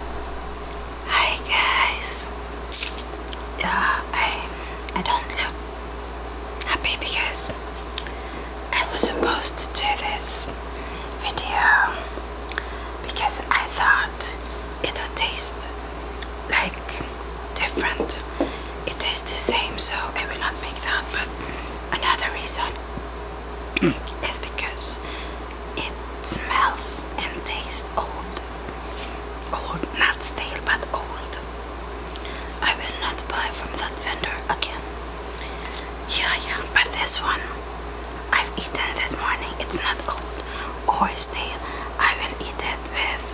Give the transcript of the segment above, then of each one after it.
Hi guys, uh, I I don't look happy because I was supposed to do this video because I thought it'll taste like different. It tastes the same, so I will not make that. But another reason is because it smells and tastes old. Old, not stale, but old. I will not buy from that vendor again. Yeah, yeah, but this one I've eaten this morning. It's not old or stale. I will eat it with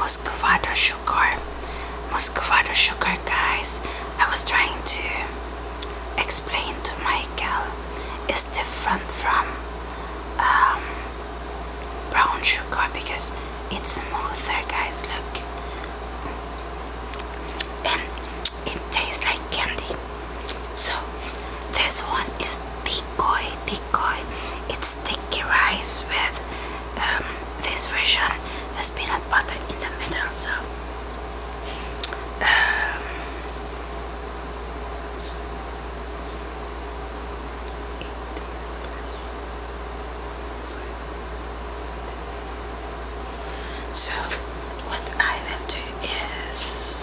muscovado sugar. Muscovado sugar, guys. I was trying to explain to Michael is different from um, brown sugar because it's smoother guys look and it tastes like candy so this one is decoy decoy it's sticky rice with um, this version has peanut butter in the middle so um, so, what I will do is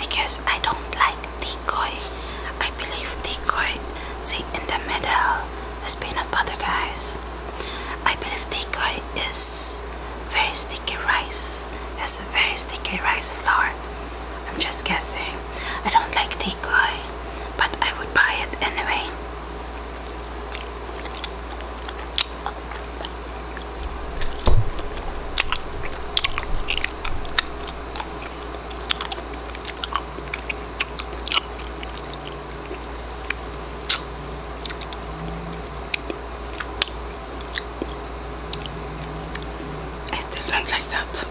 because I don't like decoy, I believe decoy, see in the middle is peanut butter, guys. I believe decoy is very sticky rice, It's a very sticky rice flour. I'm just guessing. I don't like decoy, but I would buy it anyway. I still don't like that.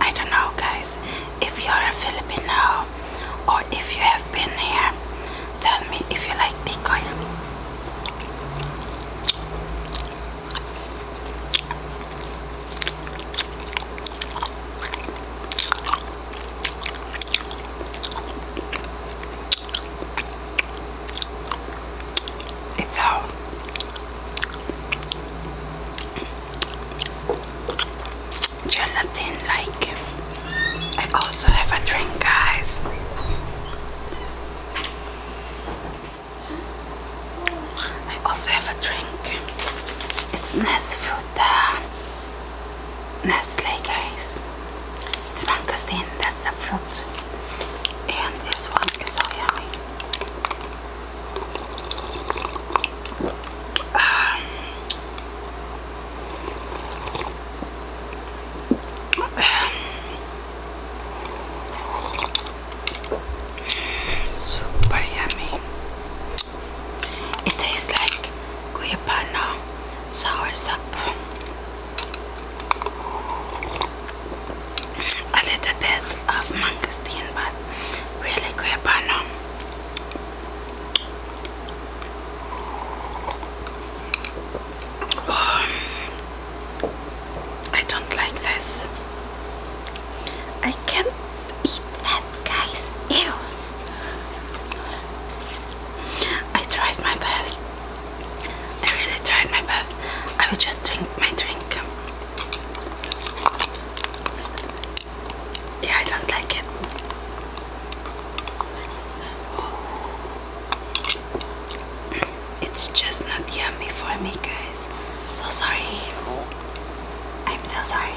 I don't know, guys, if you're a Filipino or if you have been here, tell me if you like decoy. It's how gelatin like. I also have a drink, guys. I also have a drink. It's Nesfruta Nestle guys it's mangosteen that's the fruit and this one is so yummy um, um, super yummy it tastes like Guyabana sour soup. A little bit of mangosteen, but really Guyabana. Um, oh, I don't like this. I can't eat that guys. Ew. I tried my best. I really tried my best. I would just drink my drink. Yeah, I don't like it. It's just not yummy for me, guys. So sorry. I'm so sorry.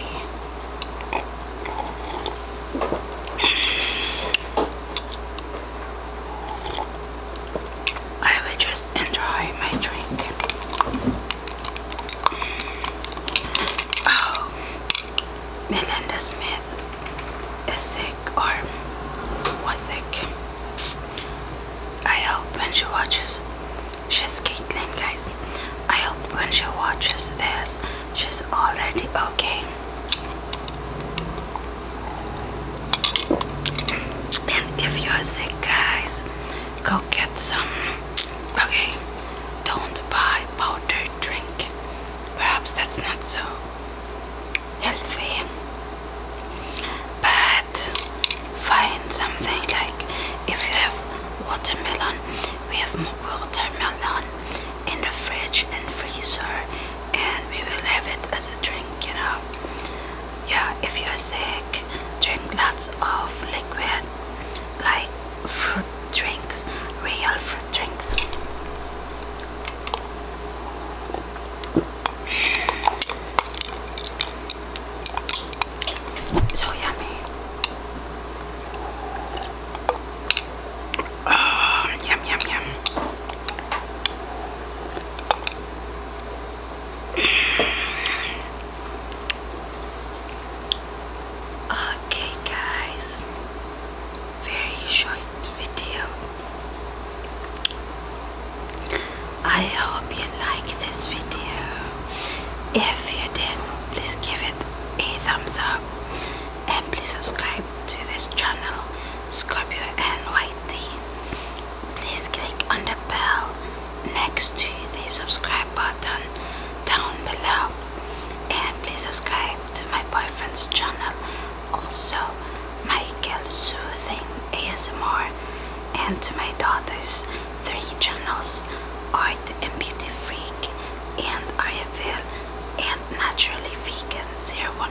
I just enjoy my drink. Oh, Melinda Smith is or was I hope when she watches, she's Caitlin, guys. I hope when she watches this she's already okay. And if you're sick, guys, go get some. Okay, don't buy powdered drink. Perhaps that's not so healthy. But find something like if you have watermelon, we have more watermelon in the fridge and freezer and we will have it as a drink you know yeah if you're sick drink lots of liquid like fruit drinks real fruit drinks so yummy Oh, yum, yum, yum. Okay, guys, very short video. I hope you like this video. If you did, please give it a thumbs up and please subscribe to this channel Scorpio NYT. Please click on the bell next to the subscribe button down below and please subscribe to my boyfriend's channel also Michael Soothing ASMR and to my daughter's three channels Art and Beauty Freak and I feel and naturally vegan 011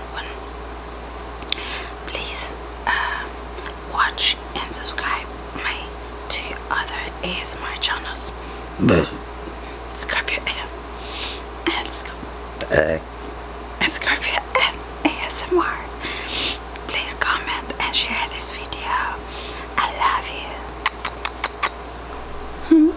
please uh, watch and subscribe my two other asmr channels scorpio and, and, and scorpio asmr please comment and share this video i love you hmm?